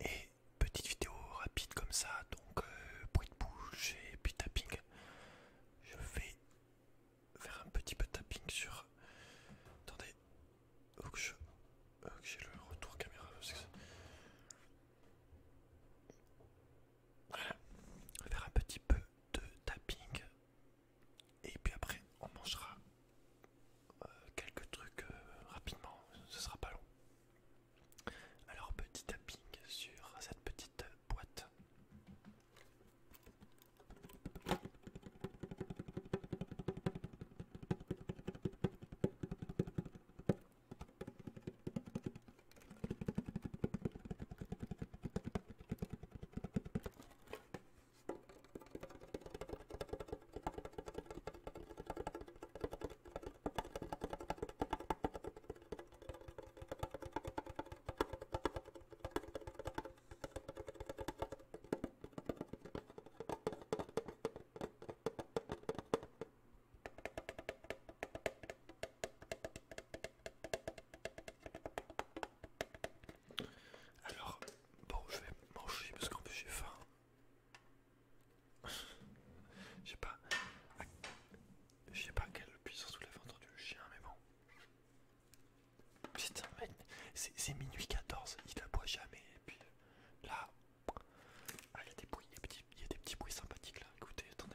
Et petite vidéo rapide comme ça, donc euh, bruit de bouche et puis tapping. Je vais faire un petit peu de tapping sur. Attendez, faut j'ai le retour caméra. Voilà, on va faire un petit peu de tapping et puis après on mangera euh, quelques trucs euh, rapidement, ce sera pas long. Alors petit tapping sur cette petite boîte. Alors, bon, je vais manger parce qu'en plus j'ai faim. Je sais pas. Je sais pas quelle puissance sous la ventre du chien, mais bon. Putain, c'est minuit 14, il aboie jamais. Et puis euh, là, ah, des il y a des petits bruits sympathiques là. Écoutez, attendez.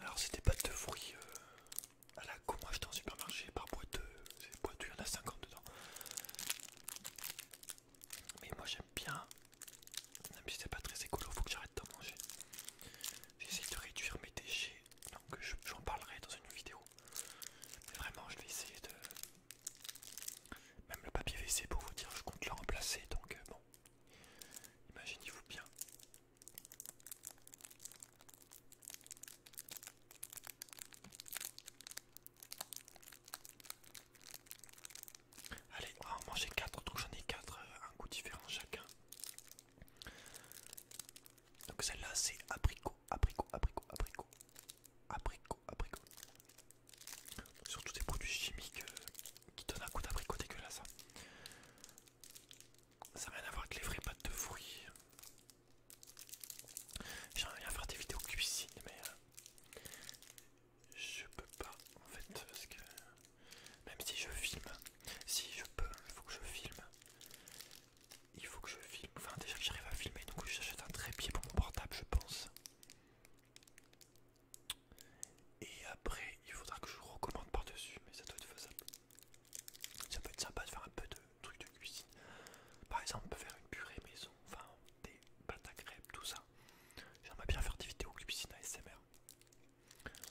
Alors c'était pas de fruits euh, à la suis en supermarché par boîte euh, boîte il y en a 50 dedans mais moi j'aime bien même si c'est pas très écolo faut que j'arrête d'en manger j'essaie de réduire mes déchets donc j'en parlerai dans une vidéo mais vraiment je vais essayer de même le papier WC pour vous dire je compte le remplacer donc euh, bon imaginez-vous bien Allez, on va en manger 4, donc j'en ai 4 euh, un goût différent chacun. Donc celle-là c'est abricot, abricot, abricot, abricot, abricot, abricot. Surtout des produits chimiques euh, qui donnent un goût d'abricot dégueulasse. Hein. Ça n'a rien à voir avec les vraies pâtes de fruits. J'aimerais bien faire des vidéos cuisine, mais euh, je peux pas en fait. Parce que même si je filme, si je peux, il faut que je filme. Il faut que je filme. Enfin, déjà que j'arrive à filmer, donc j'achète un trépied pour mon portable, je pense. Et après, il faudra que je recommande par-dessus, mais ça doit être faisable. Ça peut être sympa de faire un peu de trucs de cuisine. Par exemple, on peut faire une purée maison, enfin des pâtes à crêpes, tout ça. J'aimerais bien faire des vidéos cuisine ASMR.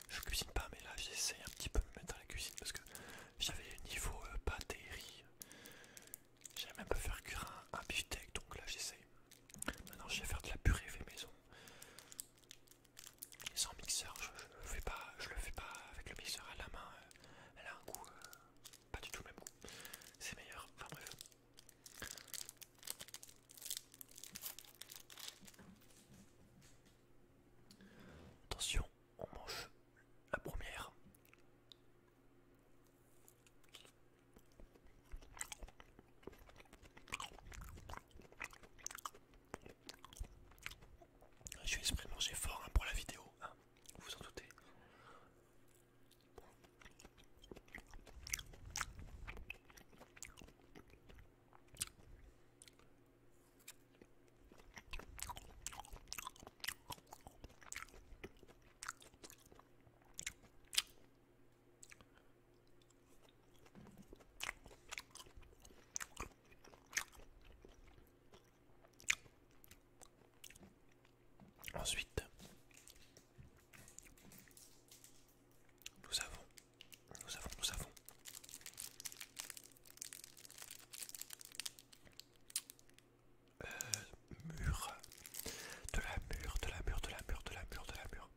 Je cuisine pas, mais là j'essaie un petit peu de me mettre dans la cuisine parce que j'avais le niveau batterie euh, pâtes et riz. J'aime un peu faire cuire un, beef donc là j'essaie. Maintenant je vais faire de la purée maison sans mixeur, je, je, fais pas, je le fais pas avec le mixeur à la main. Euh, elle a un goût, euh, pas du tout le même goût. C'est meilleur. Enfin bref. Attention, on mange la première. Je suis exprès de manger fort hein, pour la vidéo, hein. vous vous en doutez. Ensuite, nous avons, nous avons, nous avons euh, mur, de la mur, de la mur, de la mur, de la mur, de la mur.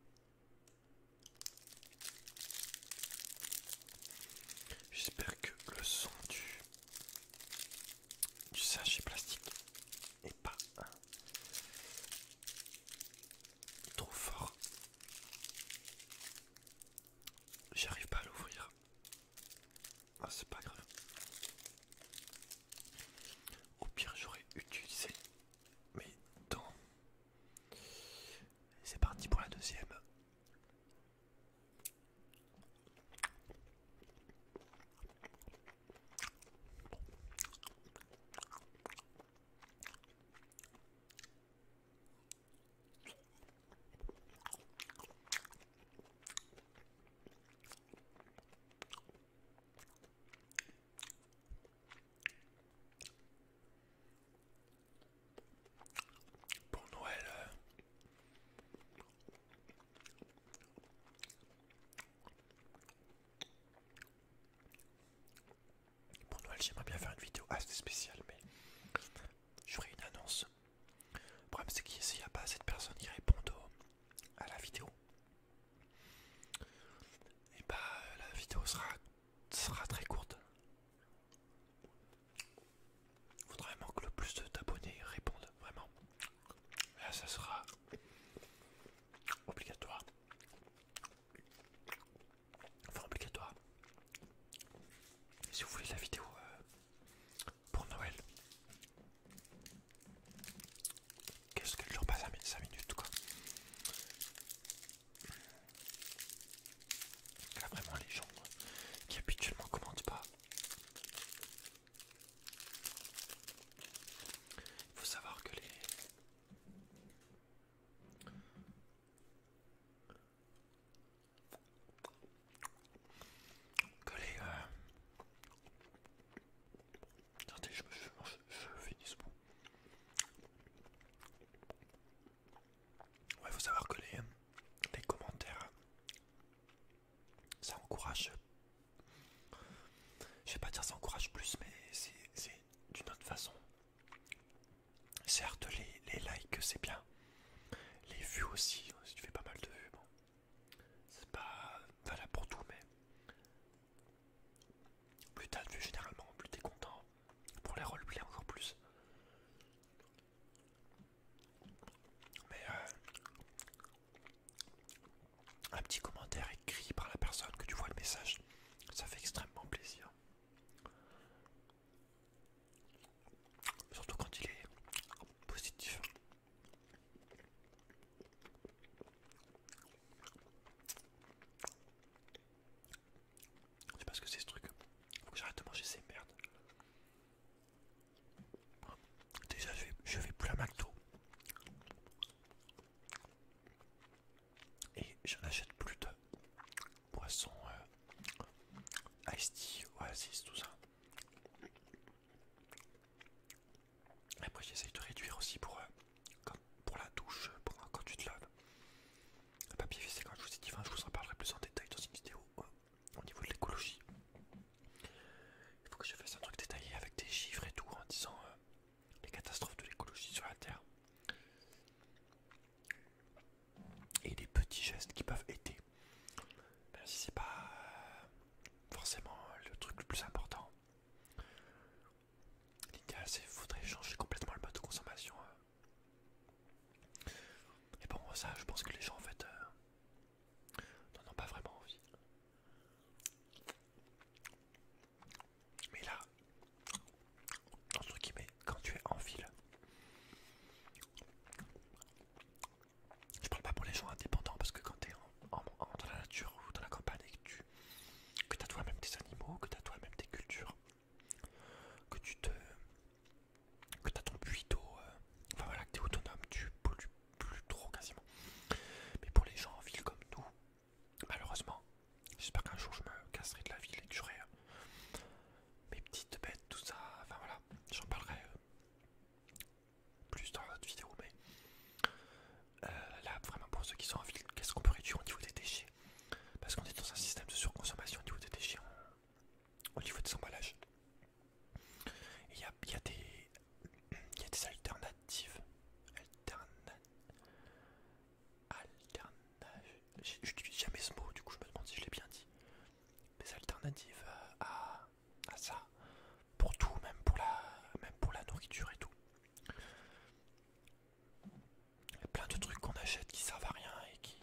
J'espère que le son du, sachet plastique n'est pas hein, trop fort. J'arrive pas à l'ouvrir. Ah, c'est pas grave. Au pire, j'aurais utilisé mes dents c'est parti pour la deuxième pour Noël. Euh. Pour Noël, j'aimerais bien faire une vidéo assez spéciale, mais je ferai une annonce. Le problème, c'est qu'il n'y a pas assez de personnes qui répondent à la vidéo, et bah la vidéo sera sera très courte. Il faudra vraiment que le plus d'abonnés répondent, vraiment. ça sera obligatoire. Enfin, obligatoire. Si vous voulez la vidéo euh, pour Noël, qu'est-ce que je leur passe 5 minutes quoi a vraiment les gens euh, qui habituellement commandent pas. Il faut savoir que les... Que les... Euh, attendez, je, finis ce Ouais, faut savoir que les, commentaires, ça encourage. Je vais pas dire ça encourage plus, mais c'est d'une autre façon. Certes, les, les likes, c'est bien. Les vues aussi, si tu fais pas mal de vues, bon. C'est pas valable pour tout, mais plus t'as vu généralement, plus t'es content. Pour les roleplay encore plus. Mais euh, un petit commentaire écrit par la personne que tu vois le message, ça fait extrêmement plaisir. Surtout quand il est positif. Je sais pas ce que c'est ce truc. Faut que j'arrête de manger ces merdes. Déjà, je vais, plus la McDo. Et je n'achète plus de poissons Ice euh, iced oasis, tout ça. Après, j'essaye de réduire aussi pour euh, pour la douche, pour quand tu te laves. Le papier fissé, quand je vous ai dit, je vous en parlerai plus en détail dans une vidéo euh, au niveau de l'écologie. Il faut que je fasse un truc détaillé avec des chiffres et tout en disant euh, les catastrophes de l'écologie sur la Terre et les petits gestes qui peuvent aider. Même si c'est pas euh, forcément le truc le plus important. L'idéal c'est faudrait changer complètement le mode de consommation hein. Et bon, ça, je pense que les gens en fait euh, n'en ont pas vraiment envie. Mais là, quand tu es en ville, je parle pas pour les gens indépendants parce que quand tu es dans la nature ou dans la campagne et que tu que as toi-même tes animaux, que tu as toi-même tes cultures, que tu te que t'as ton puits d'eau euh, enfin voilà que t'es autonome tu pollues plus trop quasiment mais pour les gens en ville comme nous malheureusement j'espère qu'un jour je me casserai de la ville et que j'aurai euh, mes petites bêtes tout ça enfin voilà j'en parlerai euh, plus dans notre vidéo mais là vraiment pour ceux qui sont en ville qu'est-ce qu'on peut réduire au niveau des déchets parce qu'on est dans un système de surconsommation au niveau des déchets, au niveau des emballages. Il y a, des alternatives. Alternatives. Alternatives. J'utilise jamais ce mot, du coup je me demande si je l'ai bien dit. Des alternatives à, ça. Pour tout, même pour, la, même pour la nourriture et tout. Il y a plein de trucs qu'on achète qui servent à rien et qui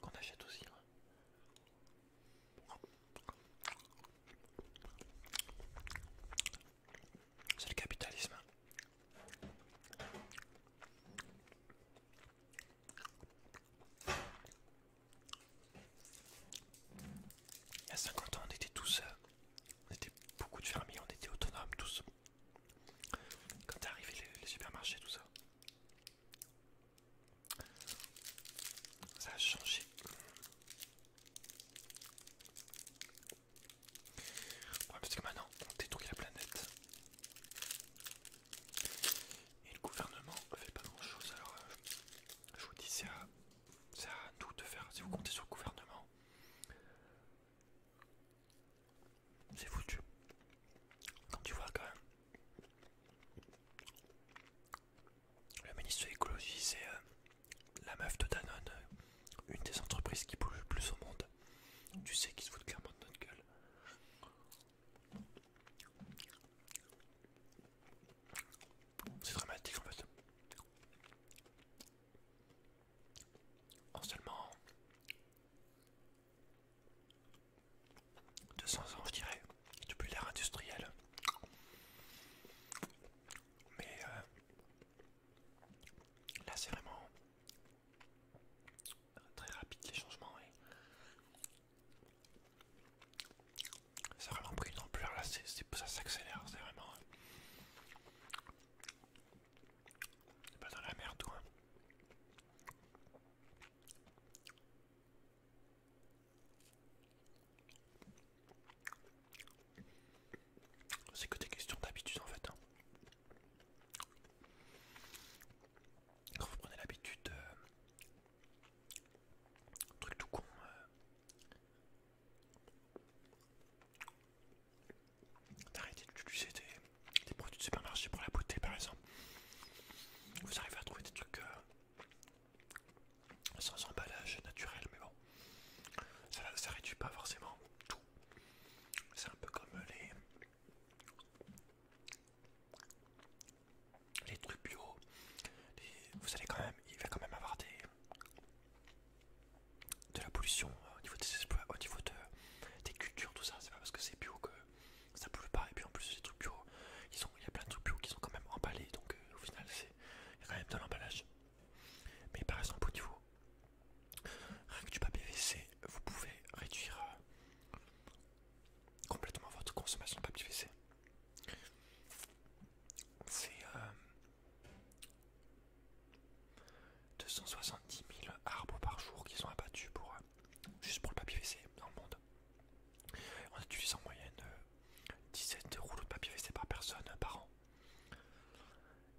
qu'on achète aussi. Hein. C'est le capitalisme. Hein. Il y a 50 ans, on était tous, euh, on était beaucoup de fermiers, on était autonomes tous. Quand t'es arrivé les, supermarchés, tout ça, ça a changé. Ouais, parce que maintenant on détruit la planète. Et le gouvernement fait pas grand chose. Alors euh, je vous dis, c'est à nous de faire. Si vous comptez sur le gouvernement, c'est foutu. Quand tu vois quand même. Le ministre de l'écologie, c'est euh, la meuf de Danone, euh, une des entreprises qui pollue le plus au monde. Tu sais qu'ils se foutent clairement de notre gueule. C'est dramatique en fait en seulement 200 ans, je dirais, depuis l'ère industrielle. Mais euh, là, c'est vraiment très rapide les changements. Et... Ça a vraiment pris une ampleur là, ça s'accélère, c'est vraiment euh, pas dans la merde, C'est que des questions d'habitude en fait. Hein. Quand vous prenez l'habitude truc tout con. Euh, d'arrêter d'utiliser des, des produits de supermarché pour la beauté par exemple. Vous arrivez à trouver des trucs euh, sans emballage naturel, mais bon, ça, réduit pas forcément tout. C'est un peu comme les les trucs bio, vous allez quand même, il va quand même avoir des, de la pollution euh, au niveau des des cultures, tout ça. C'est pas parce que c'est bio que ça pouvait pas. Et puis en plus, trucs bio, il y a plein de trucs bio qui sont quand même emballés. Donc euh, au final, il y a quand même de l'emballage. Mais par exemple, au niveau rien que du papier WC, vous pouvez réduire euh, complètement votre consommation de papier WC. C'est. 270 000 arbres par jour qui sont abattus pour euh, juste pour le papier WC dans le monde. On utilise en moyenne 17 euh, rouleaux de papier WC par personne euh, par an.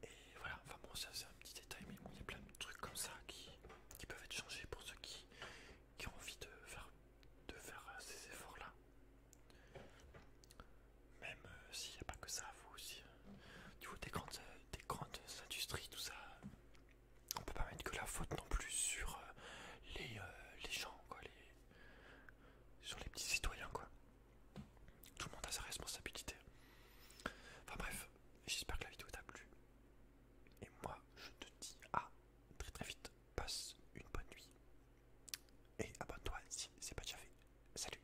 Et voilà, enfin bon, c'est un petit détail, mais il y a plein de trucs comme ça qui, peuvent être changés pour ceux qui, ont envie de faire, ces efforts-là même euh, s'il n'y a pas que ça, vous aussi. Euh, du coup, des euh, grandes, industries, tout ça, on peut pas mettre que la faute non plus sur les, les gens, quoi, les... sur les petits citoyens, quoi. Tout le monde a sa responsabilité. Enfin bref, j'espère que la vidéo t'a plu. Et moi, je te dis à très très vite. Passe une bonne nuit. Et abonne-toi si c'est pas déjà fait. Salut